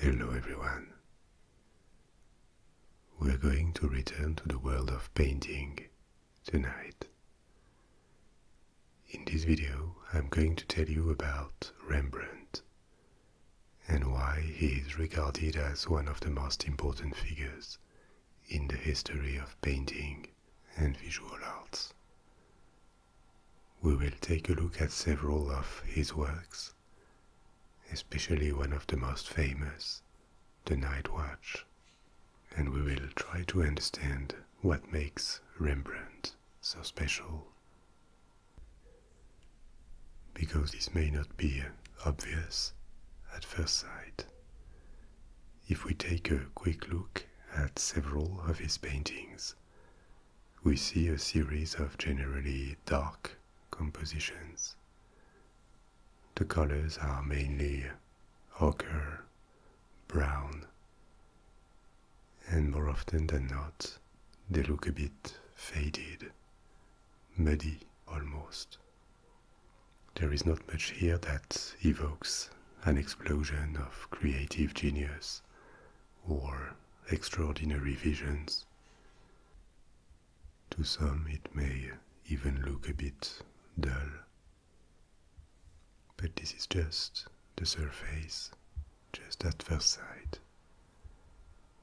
Hello, everyone. We're going to return to the world of painting tonight. In this video, I'm going to tell you about Rembrandt and why he is regarded as one of the most important figures in the history of painting and visual arts. We will take a look at several of his works, especially one of the most famous, The Night Watch, and we will try to understand what makes Rembrandt so special. Because this may not be obvious at first sight, if we take a quick look at several of his paintings, we see a series of generally dark compositions. The colors are mainly ochre, brown, and more often than not, they look a bit faded, muddy almost. There is not much here that evokes an explosion of creative genius or extraordinary visions. To some, it may even look a bit dull. But this is just the surface, just at first sight.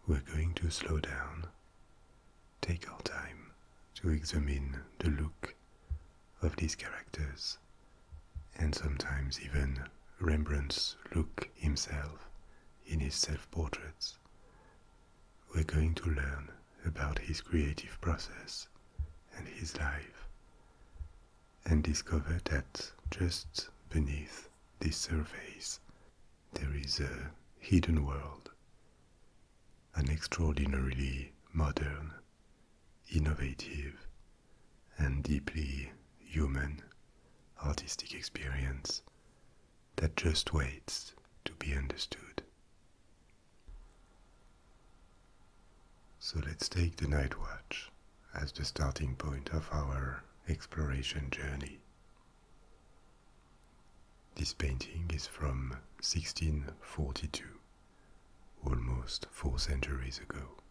We're going to slow down, take our time to examine the look of these characters, and sometimes even Rembrandt's look himself in his self portraits. We're going to learn about his creative process and his life, and discover that just beneath this surface there is a hidden world, an extraordinarily modern innovative, and deeply human artistic experience that just waits to be understood. So let's take the night watch as the starting point of our exploration journey. This painting is from 1642 almost four centuries ago.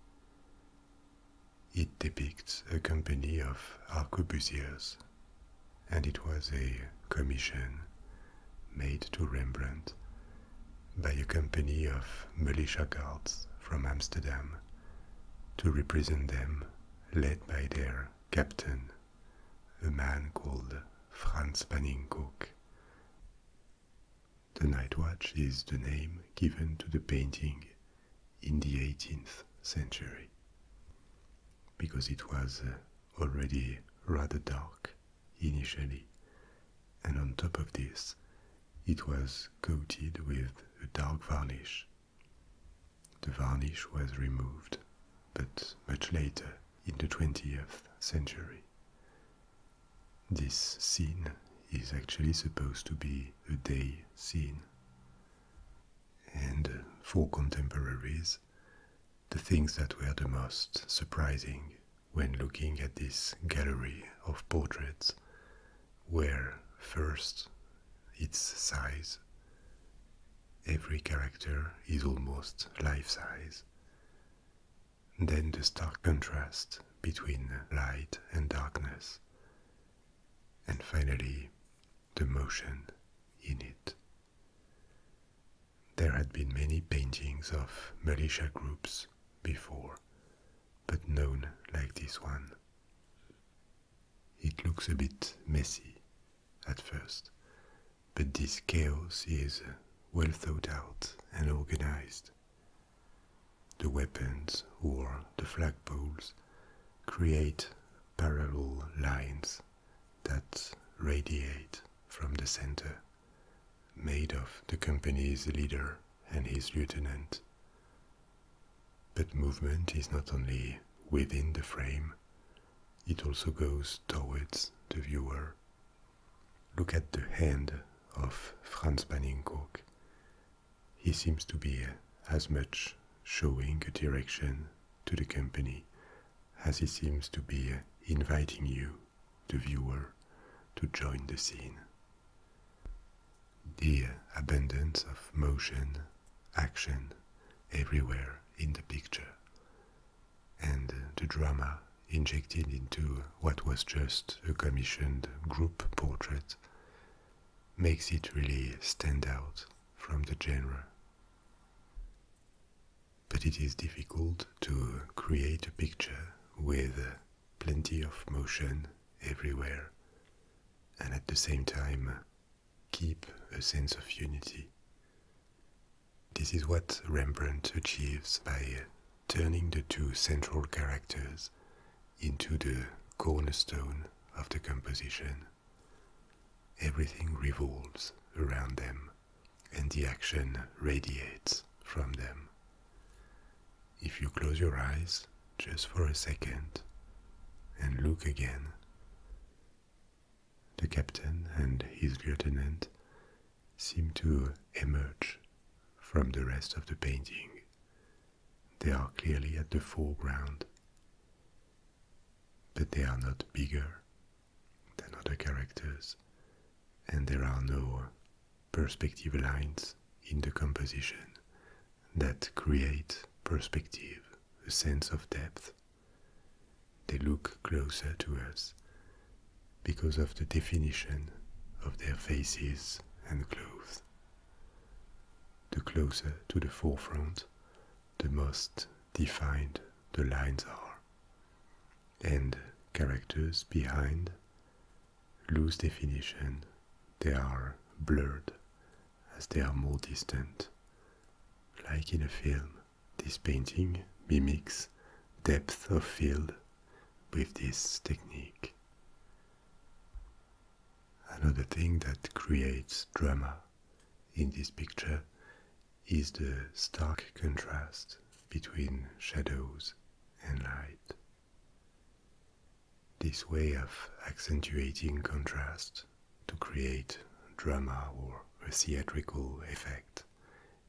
It depicts a company of arquebusiers, and it was a commission made to Rembrandt by a company of militia guards from Amsterdam to represent them, led by their captain, a man called Franz Paninkoek, the Night Watch is the name given to the painting in the 18th century because it was uh, already rather dark initially, and on top of this, it was coated with a dark varnish. The varnish was removed, but much later in the 20th century. This scene is actually supposed to be a day scene. And for contemporaries, the things that were the most surprising when looking at this gallery of portraits were first its size. Every character is almost life size then the stark contrast between light and darkness, and finally the motion in it. There had been many paintings of militia groups before, but none like this one. It looks a bit messy at first, but this chaos is well thought out and organized, the weapons or the flagpoles create parallel lines that radiate from the center, made of the company's leader and his lieutenant. But movement is not only within the frame, it also goes towards the viewer Look at the hand of Franz Baninckok. He seems to be as much showing a direction to the company as he seems to be inviting you, the viewer, to join the scene. The abundance of motion, action, everywhere in the picture, and the drama injected into what was just a commissioned group portrait makes it really stand out from the genre. But it is difficult to create a picture with plenty of motion everywhere and at the same time keep a sense of unity. This is what Rembrandt achieves by turning the two central characters into the cornerstone of the composition. Everything revolves around them, and the action radiates from them. If you close your eyes just for a second and look again, the captain and his lieutenant seem to emerge from the rest of the painting. They are clearly at the foreground, but they are not bigger than other characters, and there are no perspective lines in the composition that create perspective, a sense of depth. They look closer to us because of the definition of their faces and clothes. The closer to the forefront, the most defined the lines are, and characters behind lose definition, they are blurred as they are more distant. Like in a film, this painting mimics depth of field with this technique. Another thing that creates drama in this picture is the stark contrast between shadows and light. This way of accentuating contrast to create drama or a theatrical effect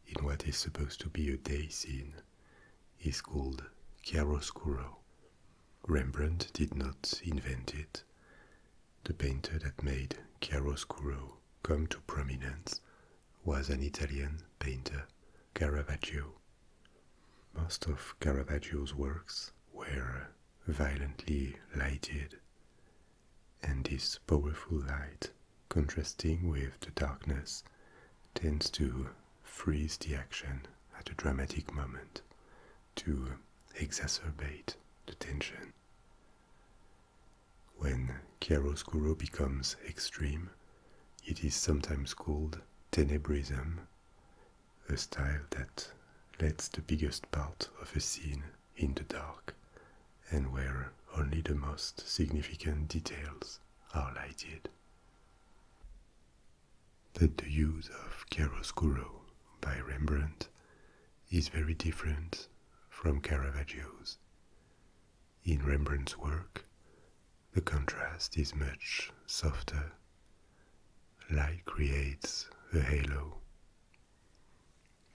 in what is supposed to be a day scene is called chiaroscuro. Rembrandt did not invent it. The painter that made chiaroscuro come to prominence was an Italian painter, Caravaggio. Most of Caravaggio's works were violently lighted, and this powerful light contrasting with the darkness, tends to freeze the action at a dramatic moment, to exacerbate the tension. When chiaroscuro becomes extreme, it is sometimes called tenebrism, a style that lets the biggest part of a scene in the dark and where only the most significant details I did. But the use of chiaroscuro by Rembrandt is very different from Caravaggio's. In Rembrandt's work, the contrast is much softer. Light creates a halo.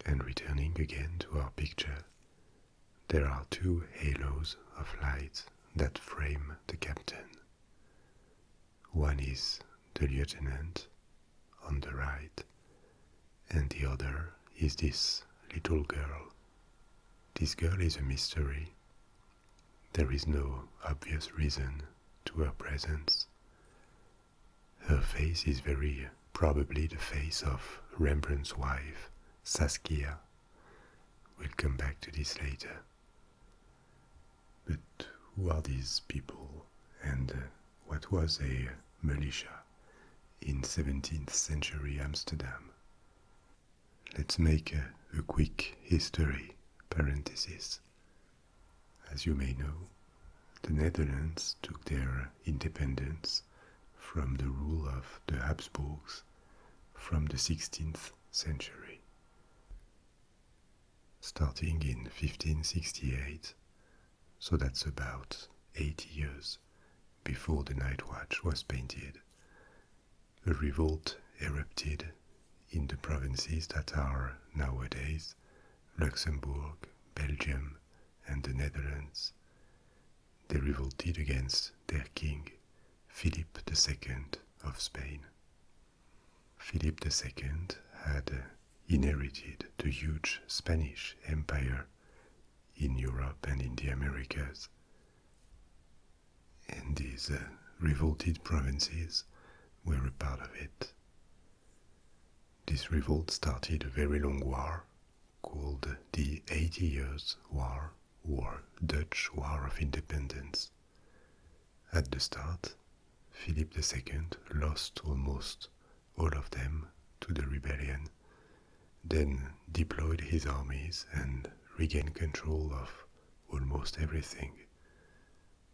And returning again to our picture, there are two halos of light that frame the captain. One is the lieutenant on the right, and the other is this little girl. This girl is a mystery. There is no obvious reason to her presence. Her face is very probably the face of Rembrandt's wife, Saskia. We'll come back to this later. But who are these people and uh, what was a militia in 17th century Amsterdam? Let's make a, quick history parenthesis. As you may know, the Netherlands took their independence from the rule of the Habsburgs from the 16th century. Starting in 1568, so that's about 80 years before the Night Watch was painted, a revolt erupted in the provinces that are nowadays Luxembourg, Belgium, and the Netherlands, they revolted against their king, Philip II of Spain. Philip II had inherited the huge Spanish Empire in Europe and in the Americas. And these uh, revolted provinces were a part of it. This revolt started a very long war called the Eighty Years' War or Dutch War of Independence. At the start, Philip II lost almost all of them to the rebellion, then deployed his armies and regained control of almost everything.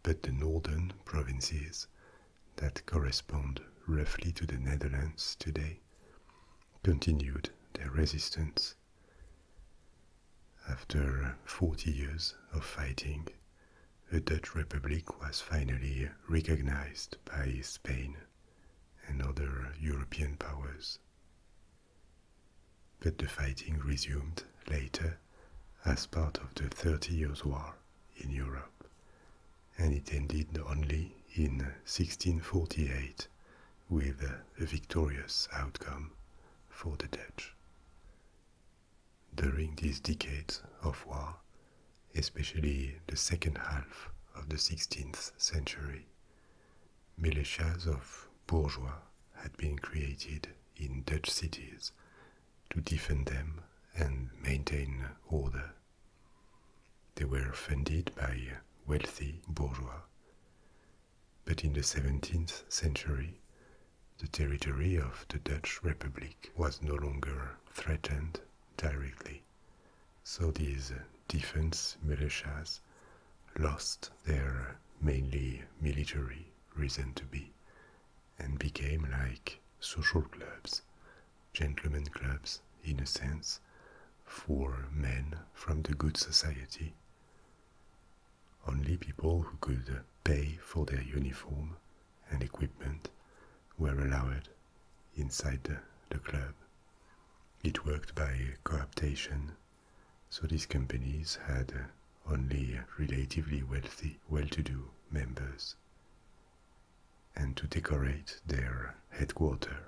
But the northern provinces that correspond roughly to the Netherlands today continued their resistance. After 40 years of fighting, the Dutch Republic was finally recognized by Spain and other European powers. But the fighting resumed later as part of the Thirty Years' War in Europe and it ended only in 1648 with a victorious outcome for the Dutch. During these decades of war, especially the second half of the 16th century, militias of bourgeois had been created in Dutch cities to defend them and maintain order. They were funded by wealthy bourgeois. But in the 17th century, the territory of the Dutch Republic was no longer threatened directly. So these defense militias lost their mainly military reason to be and became like social clubs gentlemen clubs, in a sense, for men from the good society. Only people who could pay for their uniform and equipment were allowed inside the, club. It worked by co cooptation, so these companies had only relatively wealthy, well to do members and to decorate their headquarters,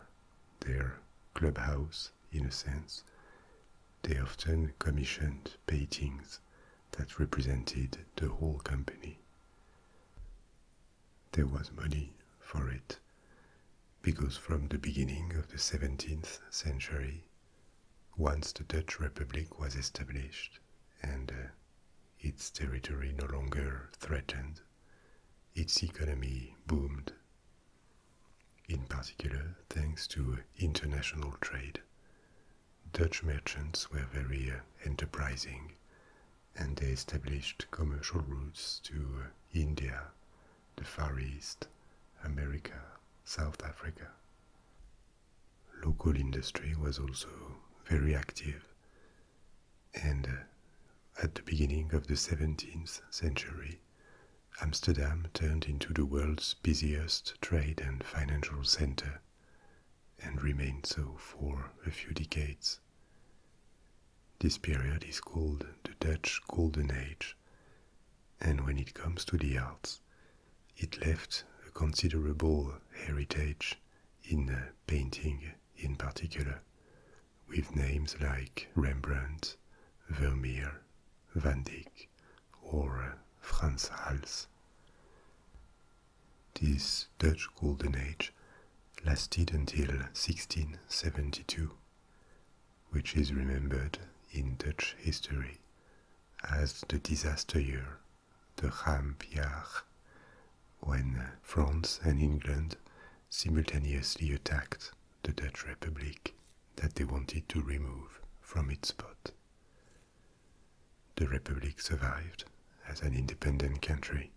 their clubhouse, in a sense. They often commissioned paintings that represented the whole company. There was money for it, because from the beginning of the 17th century, once the Dutch Republic was established and uh, its territory no longer threatened its economy boomed, in particular thanks to international trade. Dutch merchants were very uh, enterprising and they established commercial routes to India, the Far East, America, South Africa. Local industry was also very active, and uh, at the beginning of the 17th century, Amsterdam turned into the world's busiest trade and financial center and remained so for a few decades. This period is called the Dutch Golden Age, and when it comes to the arts, it left a considerable heritage in uh, painting in particular, with names like Rembrandt, Vermeer, Van Dyck, or uh, Frans Hals. This Dutch Golden Age lasted until 1672, which is remembered in Dutch history as the disaster year, the Rampjaar, when France and England simultaneously attacked the Dutch Republic that they wanted to remove from its spot. The Republic survived as an independent country,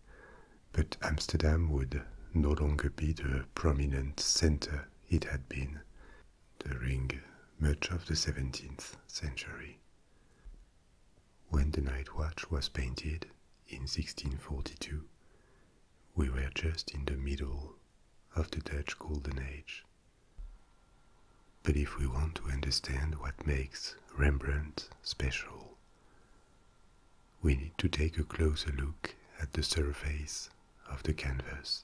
but Amsterdam would no longer be the prominent center it had been during much of the 17th century when the night watch was painted in 1642, we were just in the middle of the Dutch Golden Age. But if we want to understand what makes Rembrandt special, we need to take a closer look at the surface of the canvas.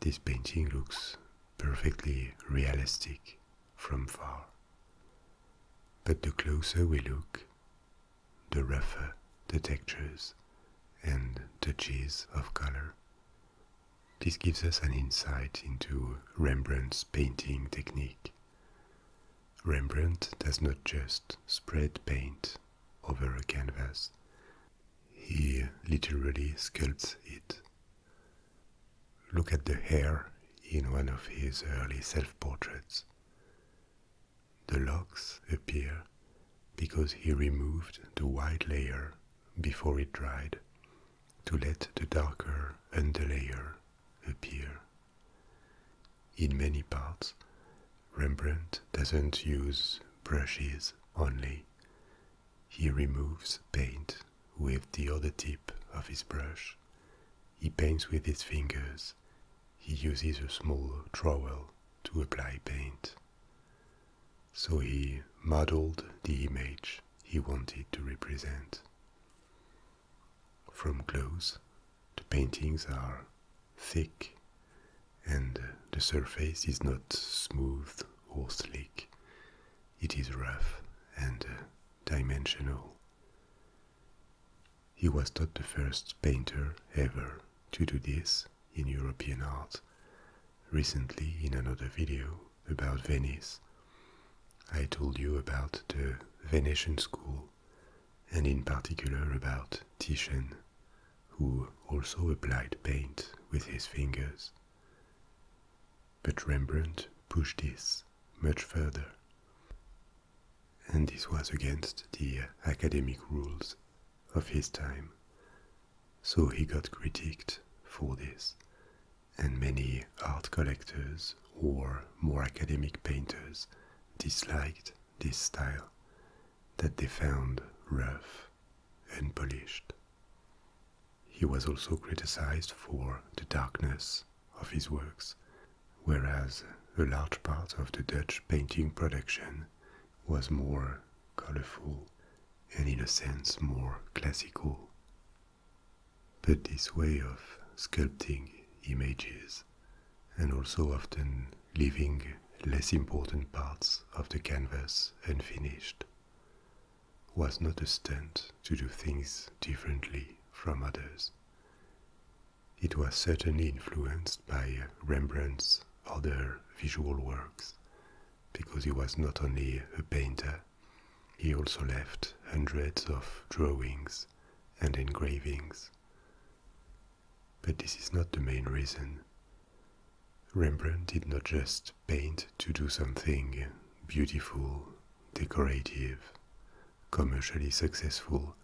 This painting looks perfectly realistic from far. But the closer we look, the rougher the textures and touches of color. This gives us an insight into Rembrandt's painting technique. Rembrandt does not just spread paint over a canvas, he literally sculpts it. Look at the hair in one of his early self portraits. The locks appear because he removed the white layer before it dried to let the darker underlayer appear. In many parts, Rembrandt doesn't use brushes only. He removes paint with the other tip of his brush. He paints with his fingers. He uses a small trowel to apply paint. So he modeled the image he wanted to represent. From close, the paintings are thick and the surface is not smooth or slick. It is rough and uh, dimensional. He was not the first painter ever to do this in European art. Recently, in another video about Venice, I told you about the Venetian school and in particular about Titian, who also applied paint with his fingers. But Rembrandt pushed this much further. And this was against the academic rules of his time. So he got critiqued for this, and many art collectors or more academic painters disliked this style that they found rough, and polished. He was also criticized for the darkness of his works, whereas a large part of the Dutch painting production was more colorful and, in a sense, more classical. But this way of sculpting images and also often leaving less important parts of the canvas unfinished was not a stunt to do things differently from others. It was certainly influenced by Rembrandt's other visual works, because he was not only a painter, he also left hundreds of drawings and engravings. But this is not the main reason. Rembrandt did not just paint to do something beautiful, decorative, commercially successful,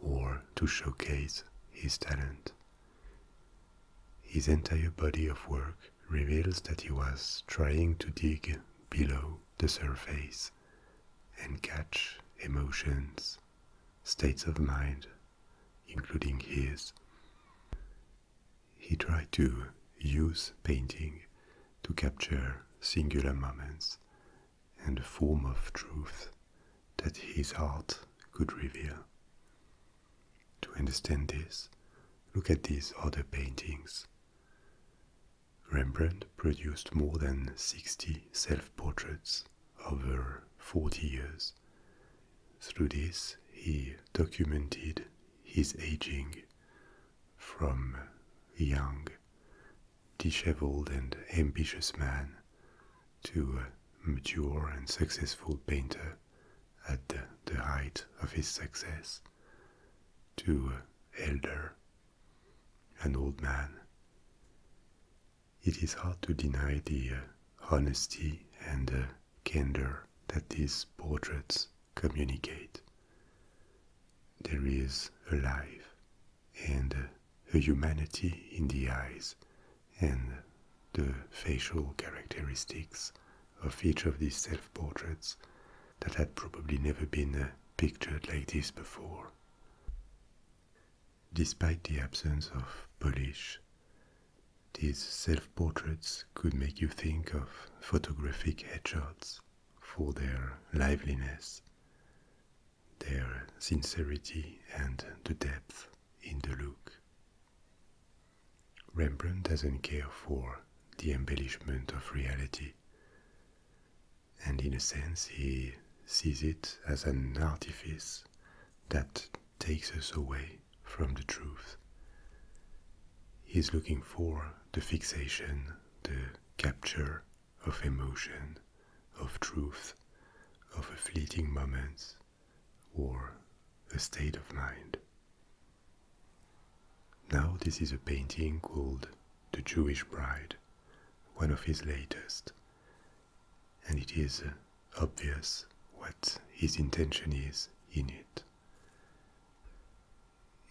or to showcase his talent. His entire body of work reveals that he was trying to dig below the surface and catch emotions, states of mind, including his he tried to use painting to capture singular moments and a form of truth that his art could reveal. To understand this, look at these other paintings. Rembrandt produced more than 60 self portraits over 40 years. Through this, he documented his aging, from a young, disheveled, and ambitious man to a mature and successful painter at the, height of his success, to an elder, an old man. It is hard to deny the uh, honesty and uh, candor that these portraits communicate. There is a life and a humanity in the eyes and the facial characteristics of each of these self portraits that had probably never been uh, pictured like this before. Despite the absence of polish, these self portraits could make you think of photographic headshots for their liveliness, their sincerity, and the depth in the look. Rembrandt doesn't care for the embellishment of reality, and in a sense, he sees it as an artifice that takes us away from the truth. he is looking for the fixation, the capture of emotion, of truth, of a fleeting moment, or a state of mind. Now, this is a painting called The Jewish Bride, one of his latest, and it is uh, obvious what his intention is in it.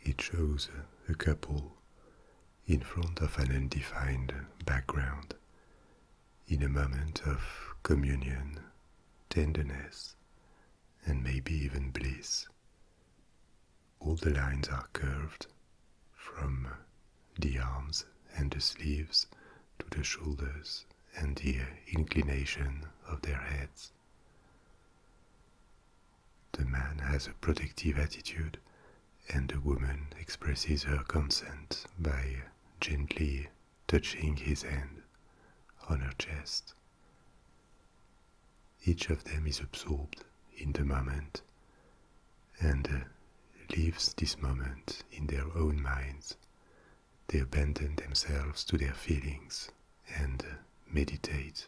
It shows a couple in front of an undefined background in a moment of communion, tenderness, and maybe even bliss. All the lines are curved from the arms and the sleeves to the shoulders and the inclination of their heads. The man has a protective attitude, and the woman expresses her consent by gently touching his hand on her chest. Each of them is absorbed in the moment and lives this moment in their own minds they abandon themselves to their feelings and meditate.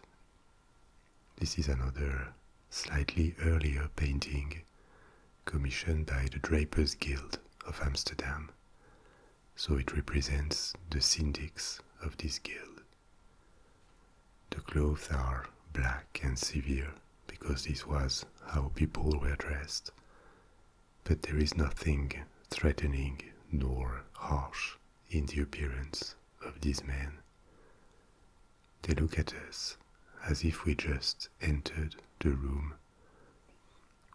This is another slightly earlier painting commissioned by the Drapers Guild of Amsterdam, so it represents the syndics of this guild. The clothes are black and severe because this was how people were dressed, but there is nothing threatening nor harsh in the appearance of these men. They look at us as if we just entered the room.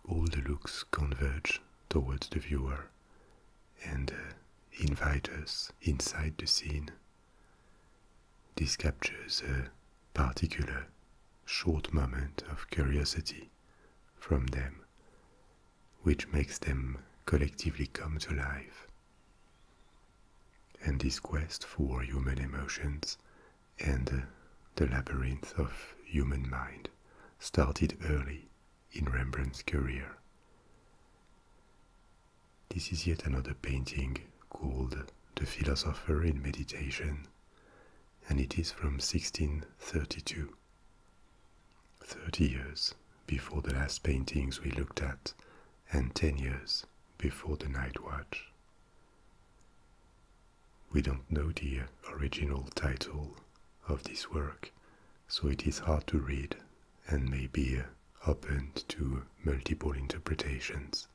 All the looks converge towards the viewer and uh, invite us inside the scene. This captures a particular short moment of curiosity from them which makes them collectively come to life. And this quest for human emotions and the labyrinth of human mind started early in Rembrandt's career. This is yet another painting called The Philosopher in Meditation, and it is from 1632. Thirty years before the last paintings we looked at, and ten years before the night watch. We don't know the original title of this work, so it is hard to read and may be open to multiple interpretations.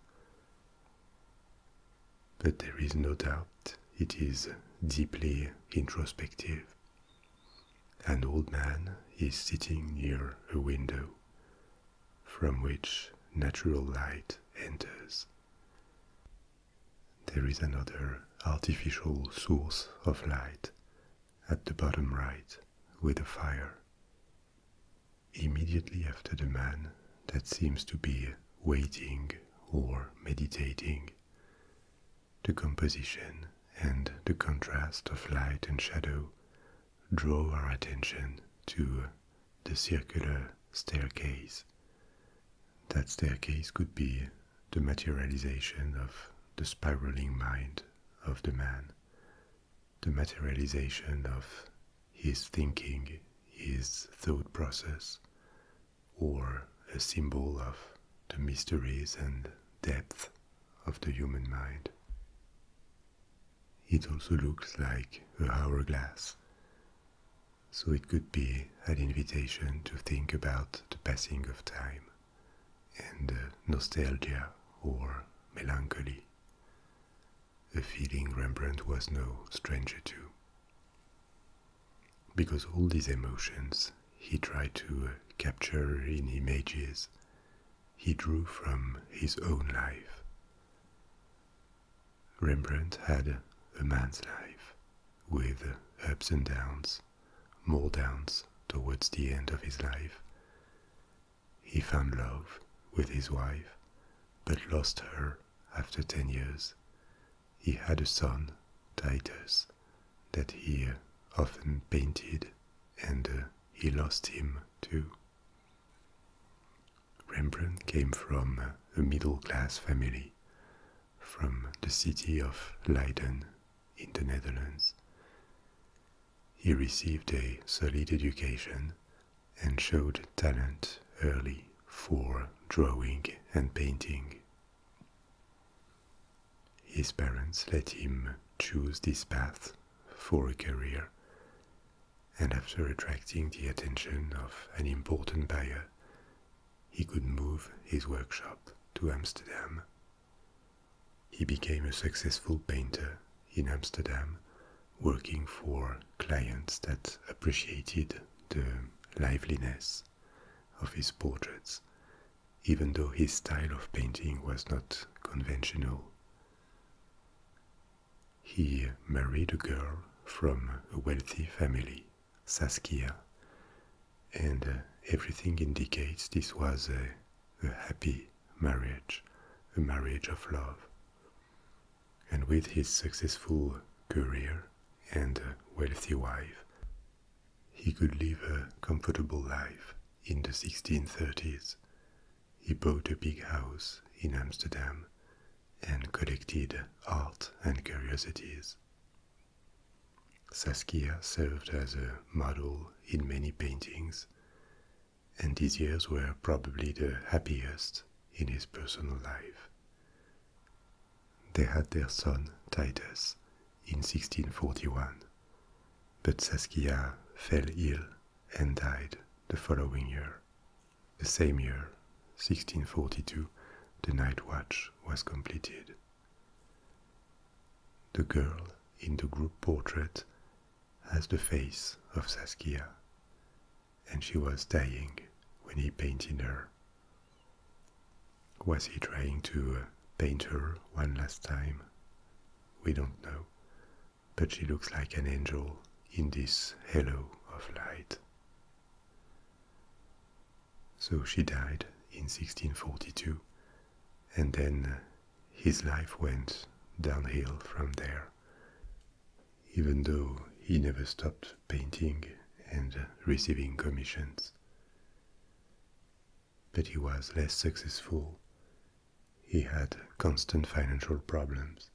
But there is no doubt it is deeply introspective. An old man is sitting near a window from which natural light enters. There is another artificial source of light at the bottom right with a fire. Immediately after the man that seems to be waiting or meditating, the composition and the contrast of light and shadow draw our attention to the circular staircase. That staircase could be the materialization of the spiraling mind of the man, the materialization of his thinking, his thought process, or a symbol of the mysteries and depth of the human mind. It also looks like a hourglass, so it could be an invitation to think about the passing of time and uh, nostalgia or melancholy, a feeling Rembrandt was no stranger to because all these emotions he tried to uh, capture in images he drew from his own life. Rembrandt had a man's life with uh, ups and downs, more downs towards the end of his life. He found love with his wife, but lost her after 10 years he had a son, Titus, that he often painted, and uh, he lost him too. Rembrandt came from uh, a middle class family from the city of Leiden in the Netherlands. He received a solid education and showed talent early for drawing and painting his parents let him choose this path for a career, and after attracting the attention of an important buyer, he could move his workshop to Amsterdam. He became a successful painter in Amsterdam, working for clients that appreciated the liveliness of his portraits, even though his style of painting was not conventional. He married a girl from a wealthy family, Saskia, and uh, everything indicates this was a, a happy marriage, a marriage of love. And with his successful career, and a uh, wealthy wife, he could live a comfortable life in the 1630s. He bought a big house in Amsterdam and collected art and curiosities. Saskia served as a model in many paintings, and these years were probably the happiest in his personal life. They had their son Titus in 1641, but Saskia fell ill and died the following year. The same year, 1642, the night watch was completed. The girl in the group portrait has the face of Saskia, and she was dying when he painted her. Was he trying to uh, paint her one last time? We don't know, but she looks like an angel in this halo of light. So she died in 1642, and then uh, his life went downhill from there, even though he never stopped painting and receiving commissions. But he was less successful. He had constant financial problems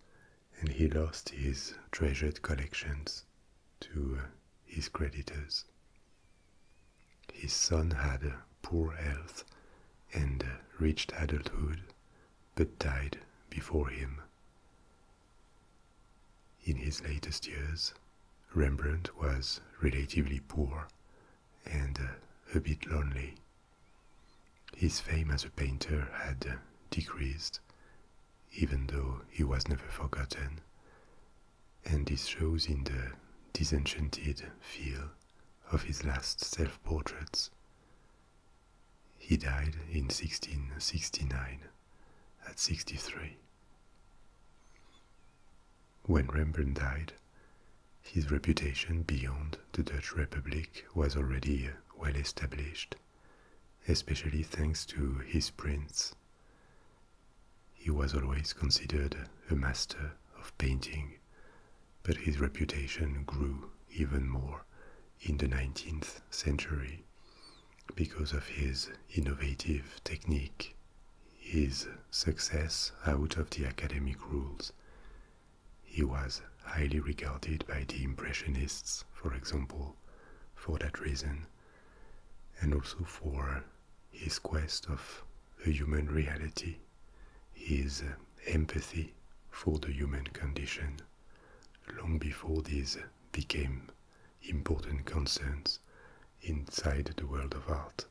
and he lost his treasured collections to uh, his creditors. His son had poor health and reached adulthood, but died before him. In his latest years, Rembrandt was relatively poor and uh, a bit lonely. His fame as a painter had uh, decreased, even though he was never forgotten, and this shows in the disenchanted feel of his last self portraits. He died in 1669 at 63. When Rembrandt died, his reputation beyond the Dutch Republic was already well established, especially thanks to his prints. He was always considered a master of painting, but his reputation grew even more in the 19th century because of his innovative technique, his success out of the academic rules. He was highly regarded by the Impressionists, for example, for that reason, and also for his quest of the human reality, his empathy for the human condition, long before these became important concerns inside the world of art.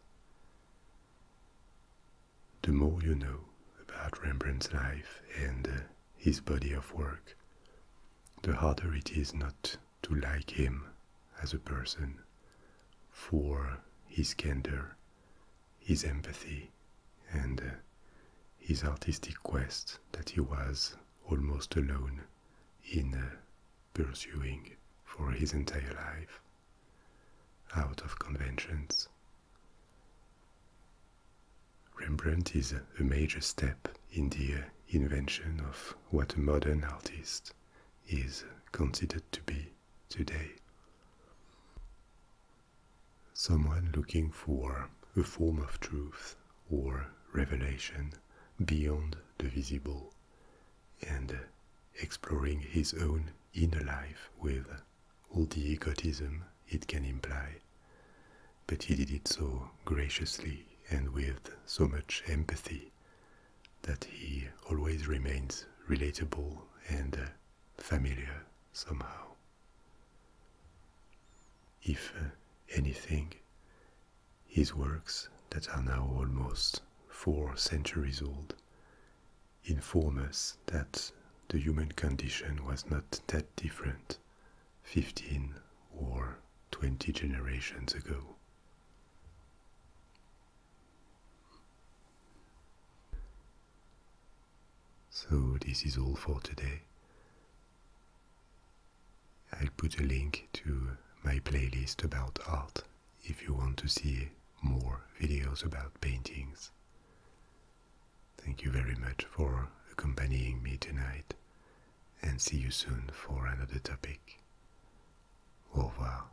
The more you know about Rembrandt's life and uh, his body of work, the harder it is not to like him as a person for his candor, his empathy, and uh, his artistic quest that he was almost alone in pursuing for his entire life, out of conventions. Rembrandt is a major step in the invention of what a modern artist is considered to be today. Someone looking for a form of truth or revelation beyond the visible and exploring his own inner life with all the egotism it can imply. But he did it so graciously and with so much empathy that he always remains relatable and familiar somehow. If anything, his works that are now almost four centuries old inform us that the human condition was not that different 15 or 20 generations ago. So, this is all for today. I'll put a link to my playlist about art if you want to see more videos about paintings. Thank you very much for accompanying me tonight and see you soon for another topic. Au revoir.